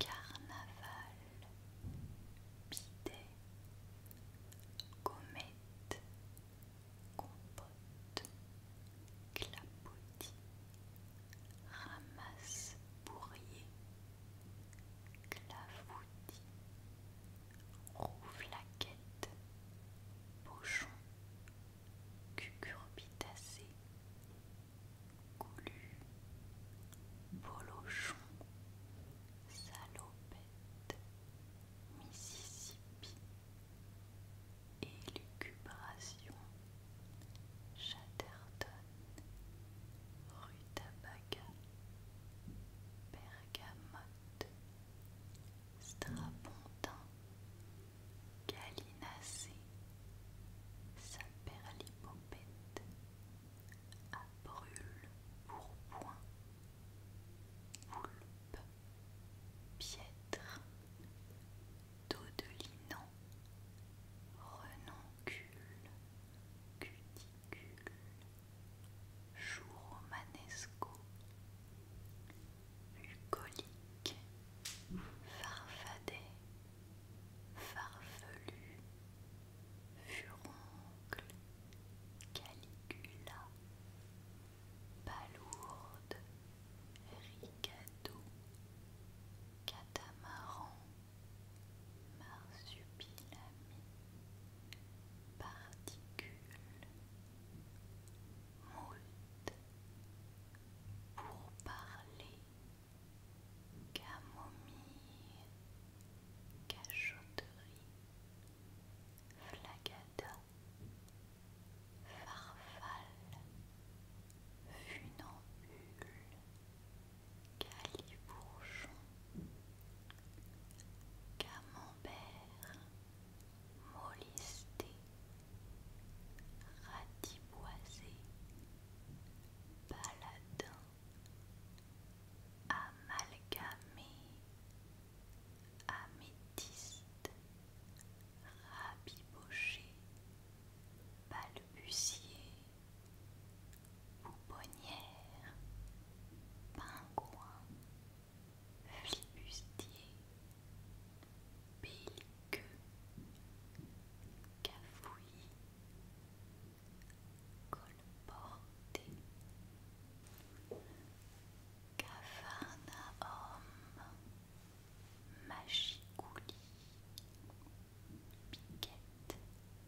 Carnaval, bidet, Gommette compote, clapotis, ramasse bourrier, clavoutis, rouflaquette, pochon, cucurbitacée, Goulue Bolochon, Salopette, Mississippi, Élucubration, Chatterton, Rutabaga, Bergamote, Strapontin, Galinacée, Saperlipo, bête, à brûle pourpoint, piètre, poulpe, de dodelinant, renoncule, cuticule, jour manesco, bucolique, farfadet, farfelu, furoncle, caligula, palourde, ricado, catamaran, marsupilami, particule, moult, pour parler camomille, cachotterie, flagada, farfalle, funambule, calibourgeon, camembert, Molisté ratiboisé, paladin, amalgamé, améthyste, rabiboché, balbutier, pouponnière, pingouin, flibustier, bélique, cafouillis, colporté Cafarnaum Machicouli Piquette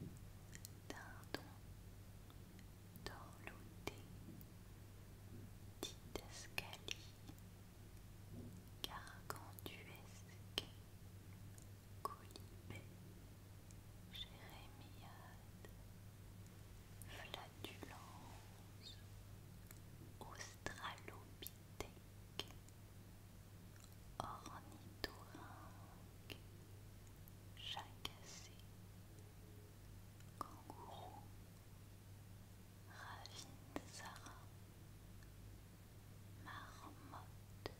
Dindon Dorloté Titascali Gargantuesque Colibé, Jérémiade, Flatulence, Australopithèque, Ornithorynque, Chacassé, Kangourou, Sarah marmotte,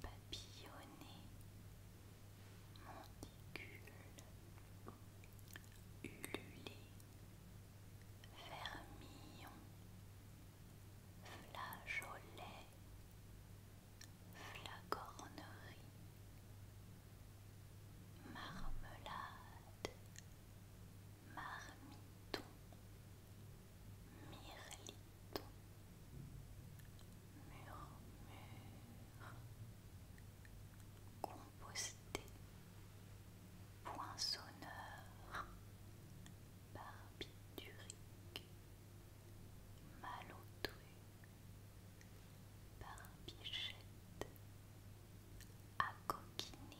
papillonner, monticule, ululer, vermillon, flageolet, flagornerie, marmelade, marmiton. Mirliton Murmure Composté Poinçonneur Barbiturique Malotru Barbichette coquiner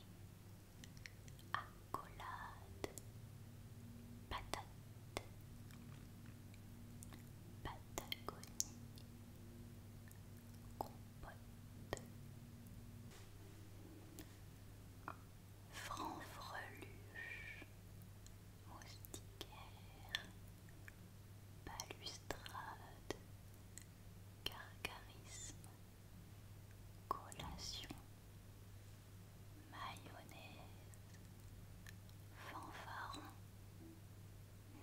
accolade, patate, patagonie, compote, franfreluche, moustiquaire, balustrade, gargarisme, collation mayonnaise, fanfaron,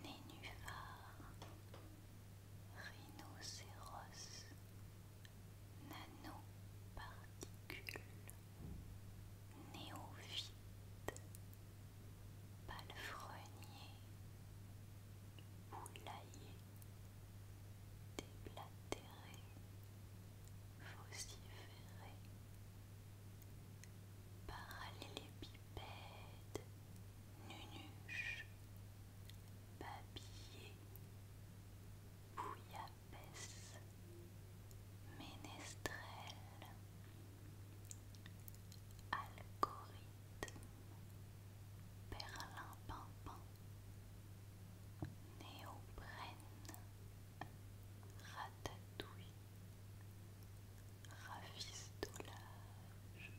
nénuphar, rhinocéros, nanoparticules, néophyte, palefrenier, poulailler, déblatéré, vociférer. Parallélépipède, nunuche, babillé, bouillabaisse, ménestrel, algorithme, perlimpinpin, néoprène ratatouille, rafistolage,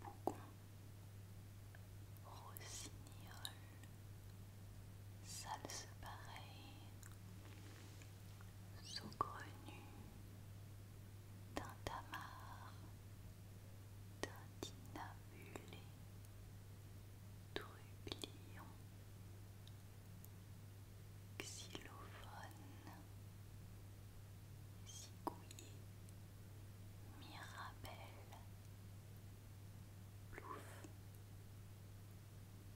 bougon, rossignol, salse pareille, saugrenu, tintamarre, tintinabulé, trublion xylophone, cigouiller, mirabelle, plouf,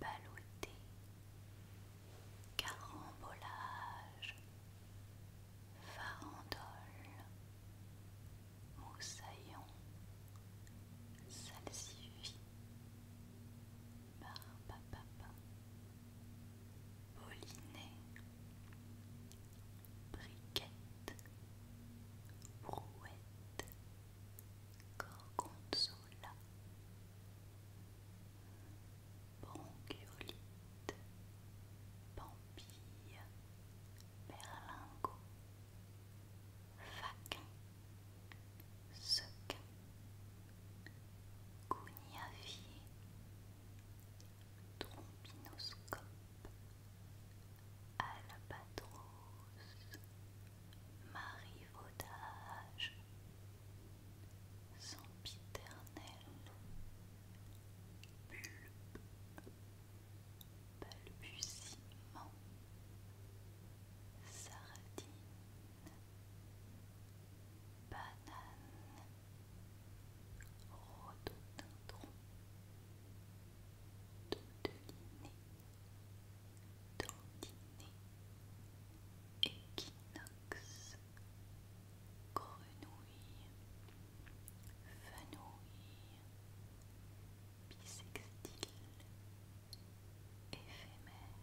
baloté, carambolage, farandole, moussaillon, salsifis. Barbapapa, Poliné Briquette, Brouette, Gorgonzola, Bronchiolite, Pampille, Berlingot, Suk Gouniavier Trompinoscope Albatros Marivaudage Sempiternel Bulbe Balbutiement sardine, banane, rododendron, doudeliné, dandiné, équinoxe, grenouille, fenouil, bisextile, éphémère,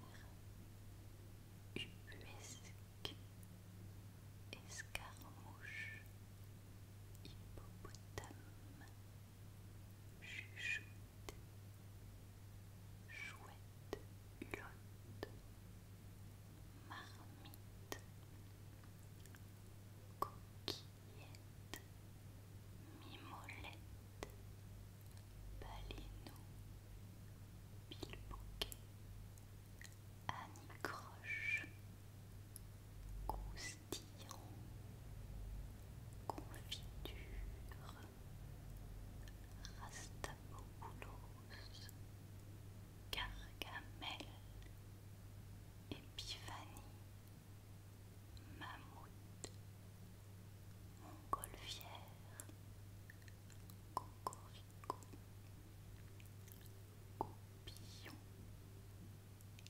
ubuesque, escarmouche, hippopotame, chuchote, chouette, hulotte, marmite, coquille. Mimolette, Baléno, Bilboquet, Anicroche, Croche, Coustillon, Confiture, Rastapopoulos, Gargamel, Épiphanie mammouth, montgolfière, cocorico, goupillon,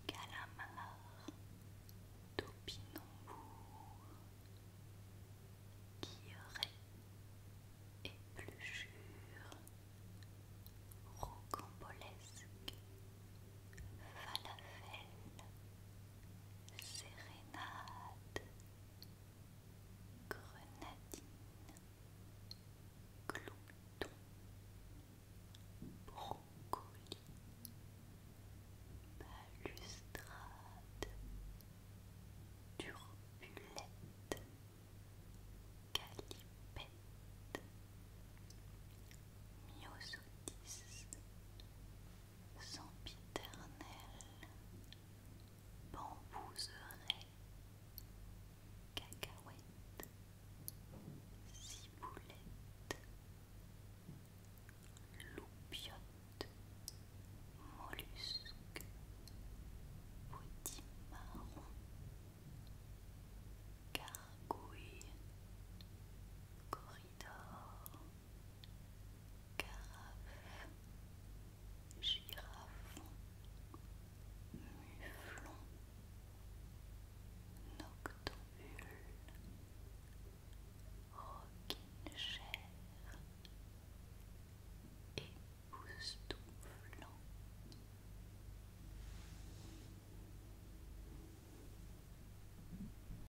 calamar, topinambour, guilleret, épluchure, rocambolesque, falafel, sérénade, grenadine, glouton, brocoli, balustrade, turbulette, calipette, myosotis, sempiternelle, bambouseraie, cacahuète, ciboulette, loupiote, mollusque, marron gargouille, corridor Carafe, girafon, muflon, pousse tout époustouflant.